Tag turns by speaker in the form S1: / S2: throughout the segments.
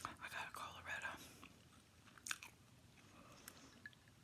S1: I got a Colorado.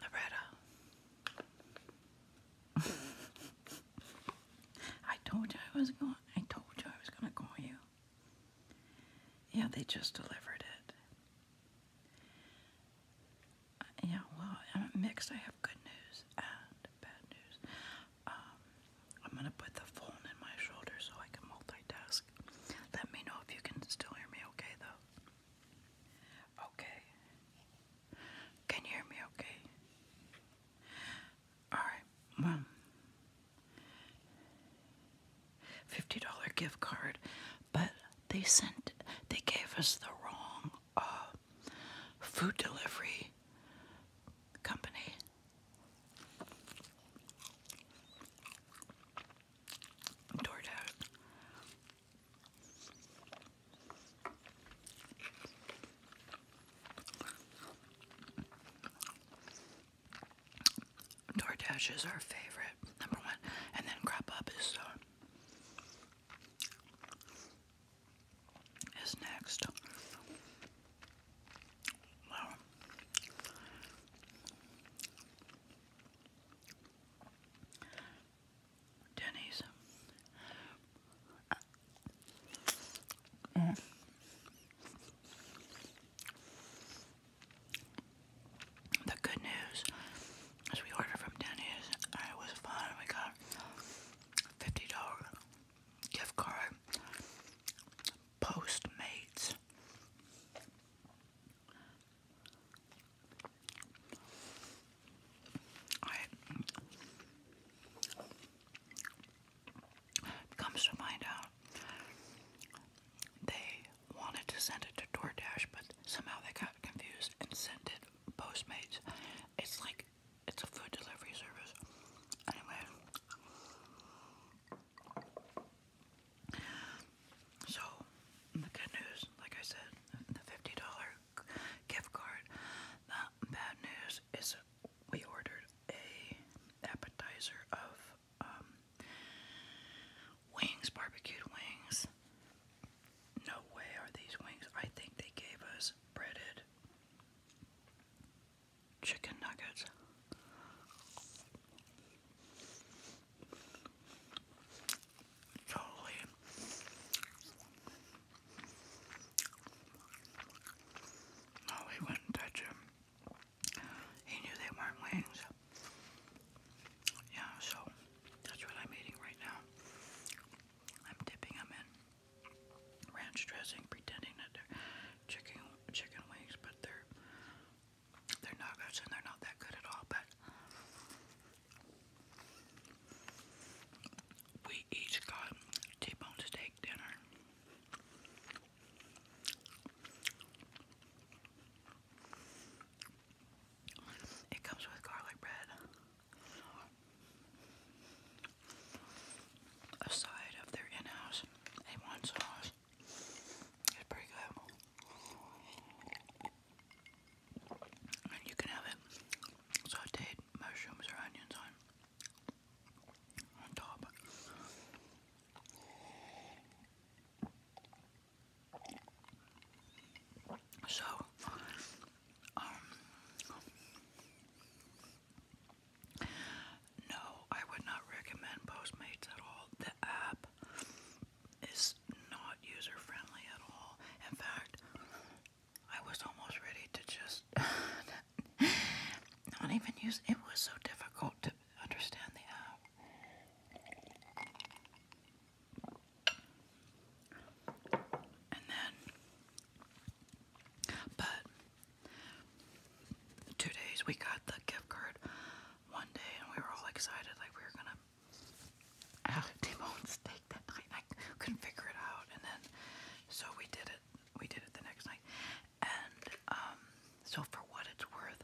S1: Loretta. I told you I was going I told you I was gonna call you. Yeah, they just delivered it. Yeah, well, I'm mixed. I have good news and bad news. Um, I'm gonna put the phone in my shoulder so I can multitask. Let me know if you can still hear me okay, though. Okay. Can you hear me okay? All right, one. $50 gift card, but they sent, they gave us the wrong uh, food delivery company. DoorDash. DoorDash is our favorite, number one. And then Crop Up is, uh, is next. Wow. Denny's. Mm. The good news is we ordered from Denny's and it was fun. We got $50 gift card. Postmates. Alright. Comes to find out, uh, they wanted to send it to DoorDash, but somehow they got confused and sent it Postmates. It's like it's a food delivery service. Anyway, so the good news, like I said, the fifty dollar gift card. The bad news is we ordered a appetizer of um, wings, barbecued wings. No way are these wings. I think they gave us breaded chicken nuggets. Totally no, he wouldn't touch them. He knew they weren't wings. Yeah, so that's what I'm eating right now. I'm dipping in ranch dressing, pretending that they're chicken chicken wings, but they're they're nuggets and they're not that good at all. But we each got T-bone steak dinner. It comes with garlic bread, a side of their in house a sauce. It's pretty good. And you can have it sauteed mushrooms or onions on. So, um, no, I would not recommend Postmates at all. The app is not user friendly at all. In fact, I was almost ready to just not even use it was so difficult to understand the app. And then but two days we got the gift card one day and we were all excited like we were gonna have t steak that night. I couldn't figure it out and then so we did it we did it the next night. And um, so for what it's worth,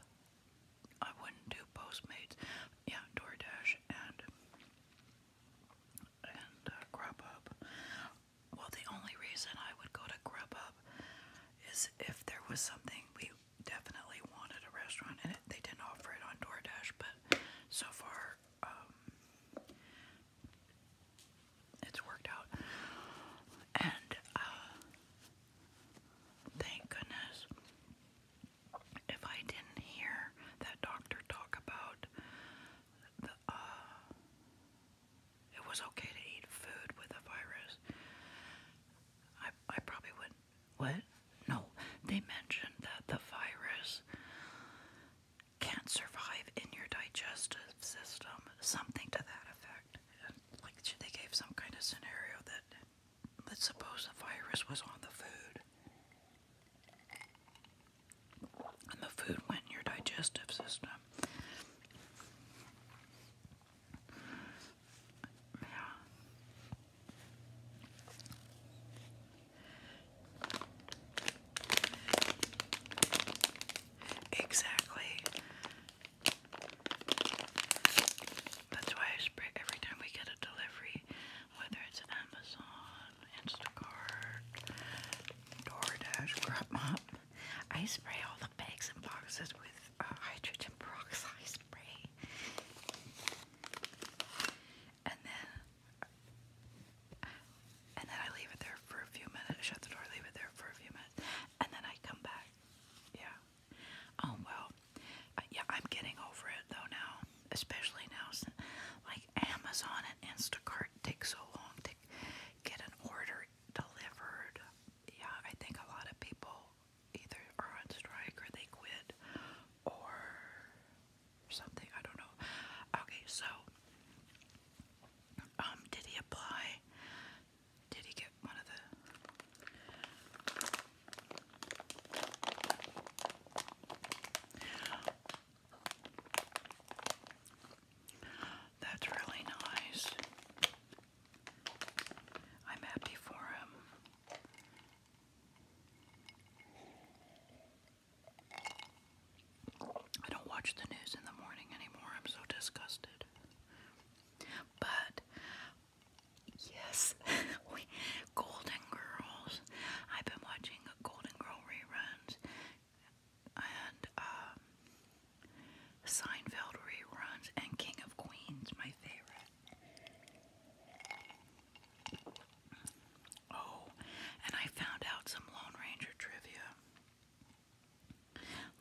S1: I wouldn't do Postmates. Yeah, DoorDash and and uh, Grubhub. Well, the only reason I would go to Grubhub is if there was something we definitely wanted a restaurant, and they didn't offer it on DoorDash. But so far, um, it's worked out. And uh, thank goodness if I didn't hear that doctor talk about the uh, it was okay to eat food with a virus. I I probably would What? No, they mentioned that the virus can't survive in your digestive system, something to that effect. like they gave some kind of scenario that let's suppose the virus was on the food, and the food went in your digestive system. Yeah. Exactly. That's why I spray every time we get a delivery, whether it's Amazon, Instacart, DoorDash, GrubMop. I spray all the bags and boxes with uh, hydrogen peroxide spray. And then and then I leave it there for a few minutes, shut the door, leave it there for a few minutes, and then I come back. Yeah. Oh, well. Uh, yeah, I'm getting over it though now, especially now since like Amazon and Instacart take so long to get an order delivered. Yeah, I think a lot of people either are on strike or they quit or or something. I don't know. Okay, so um, did he apply? Did he get one of the? That's really nice. I'm happy for him. I don't watch the news in the morning anymore. I'm so disgusted. But yes, we Golden Girls. I've been watching Golden Girls reruns and um, Seinfeld reruns and King of Queens, my favorite. Oh, and I found out some Lone Ranger trivia.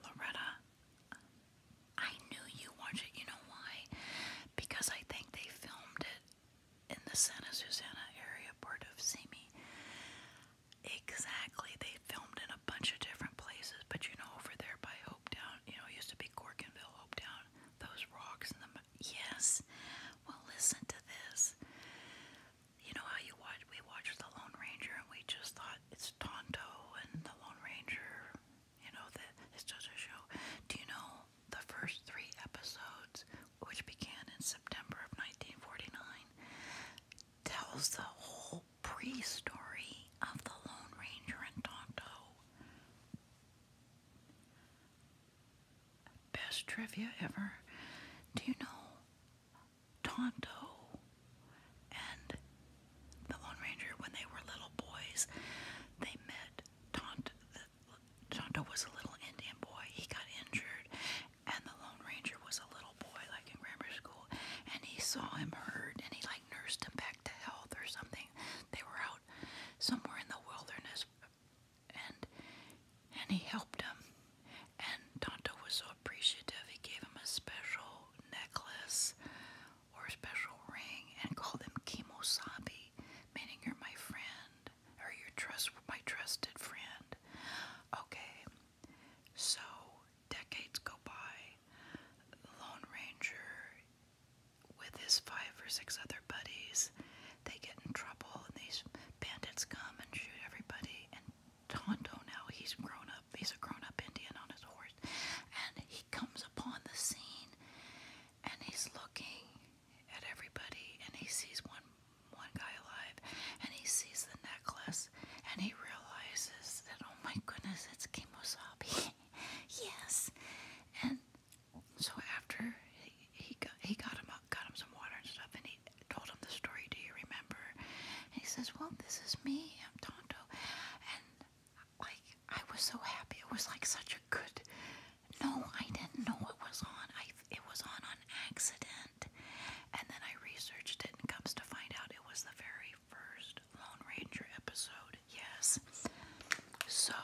S1: Loretta, I knew you watched it. You know why? Because I think they filmed it in the Santa Susana area, part of Simi. Exactly. They filmed in a bunch of different places, but you know, over there by Hopetown, you know, used to be Corkinville, Hopetown, those rocks in the. Yes. Well, listen to this you know how you watch we watched the Lone Ranger and we just thought it's Tonto and the Lone Ranger, you know, that it's just a show. Do you know the first three episodes, which began in September of 1949, tells the whole pre-story of the Lone Ranger and Tonto. Best trivia ever. Do you know Tonto and the Lone Ranger when they were little boys? They met Tonto. Tonto was a little Indian boy. He got injured, and the Lone Ranger was a little boy, like in grammar school. And he saw him hurt, and he like nursed him back to health or something. They were out somewhere in the wilderness and and he helped him. And Tonto was so appreciative he gave him a special necklace or a special ring and called him Kimosabi, meaning you're my friend or you're my trusted friend. Okay. So decades go by. Lone Ranger with his five or six other buddies they get in trouble and these bandits come and shoot everybody. And Tonto now, he's grown up, he's a grown up Indian on his horse. And he comes upon the scene and he's looking at everybody and he sees one one guy alive and he sees the necklace and he realizes that oh my goodness it's Kimosabi. yes. And so after he, got he got him up, got him some water and stuff and he he told him the story, do you remember? And he says, well, this is me, I'm Tonto. And like, I was so happy. It was like such a good, no, I didn't know it was on. I, it was on on accident. And then I researched it and comes to find out it was the very first Lone Ranger episode. Yes. So,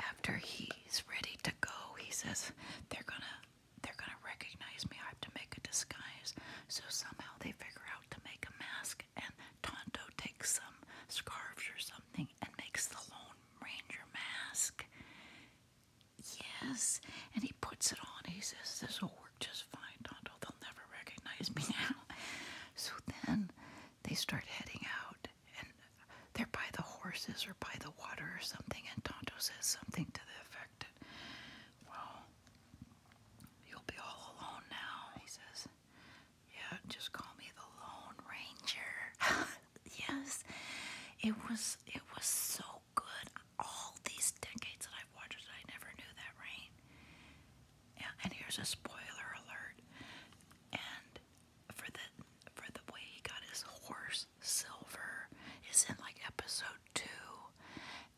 S1: after he's ready to go, he says they're gonna they're gonna recognize me. I have to make a disguise. So somehow they figure out to make a mask, and Tonto takes some scarves or something and makes the Lone Ranger mask. Yes, and he puts it on. He says, "This will work just fine, Tonto. They'll never recognize me now." so then they start heading out, and they're by the horses or by the water or something, and Tonto says something to the effect that, well, you'll be all alone now, he says. Yeah, just call me the Lone Ranger. yes, it was, it was so good. All these decades that I've watched it, I never knew that, right? Yeah, and here's a spoiler alert. And for the for the way he got his horse Silver is in like episode two,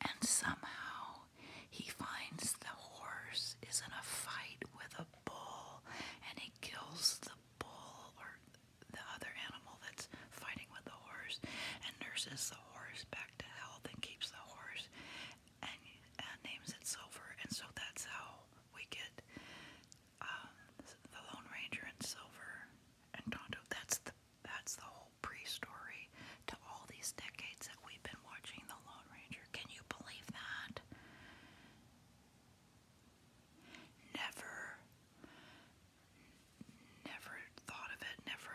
S1: and somehow he finds the horse is in a fight with a bull, and he kills the bull or the other animal that's fighting with the horse, and nurses the horse back to health and keeps the horse and names it Silver, and so that's how we get um, the Lone Ranger and Silver and Tonto. That's the that's the whole pre-story to all these decades that we've been watching the Lone Ranger. Can you believe that? Never, never thought of it. Never.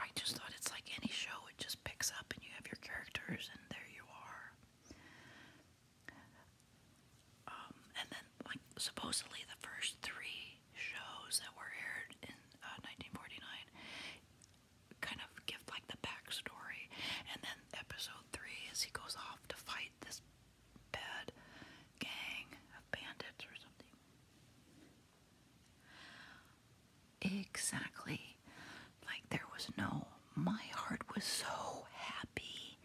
S1: I just thought it's like any show. It just picks up and you have your characters and there you are. Um, and then, like, supposedly the first three shows that were aired in 1949 uh, kind of give, like, the backstory. And then episode three is he goes off to fight this bad gang of bandits or something. Exactly. Like, there was no my heart was so happy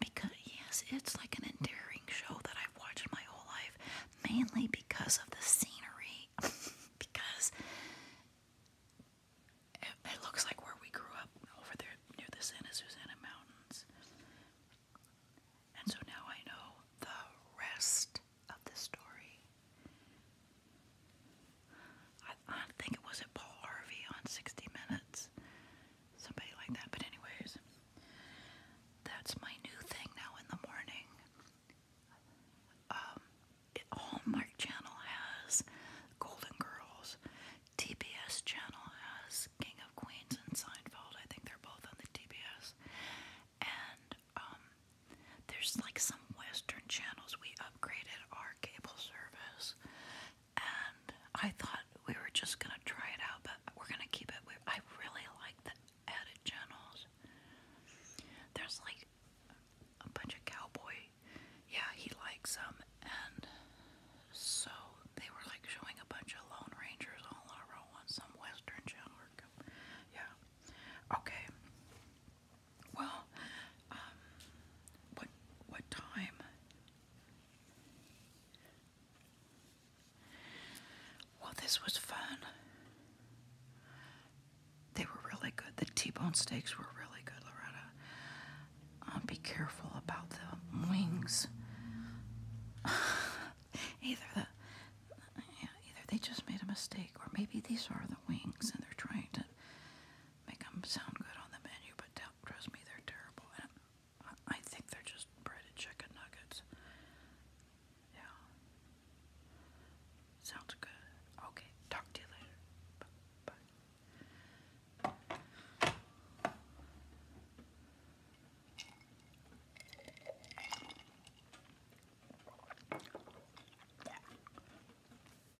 S1: because yes, it's like an endearing show that I've watched my whole life, mainly because of the scenery, because it, looks like where we grew up over there near the Santa Susana Mountains. And so now I know the rest of the story. I, think it was at Paul Harvey on 60 Minutes, somebody like that. But anyways, that's my new thing now in the morning. Um, Hallmark Channel has Golden Girls. TBS Channel has King of Queens and Seinfeld. I think they're both on the TBS. And um, there's like some Western channels. We upgraded our cable service and I thought we were just gonna try it out, but we're gonna keep it. I really like the added channels. There's like a bunch of cowboy. Yeah, he likes them, and so they were like showing a bunch of Lone Rangers all in a row on some Western channel. Yeah. Okay. Well, um, what what time? Well, this was fun. They were really good. The T-bone steaks were really good, Loretta. Uh, be careful about the wings. either the yeah, either they just made a mistake, or maybe these are the wings and they're trying to make them sound good on the menu, but trust me, they're terrible. And I think they're just breaded chicken nuggets. Yeah. Sounds good. Okay, talk to you later. Bye. Bye.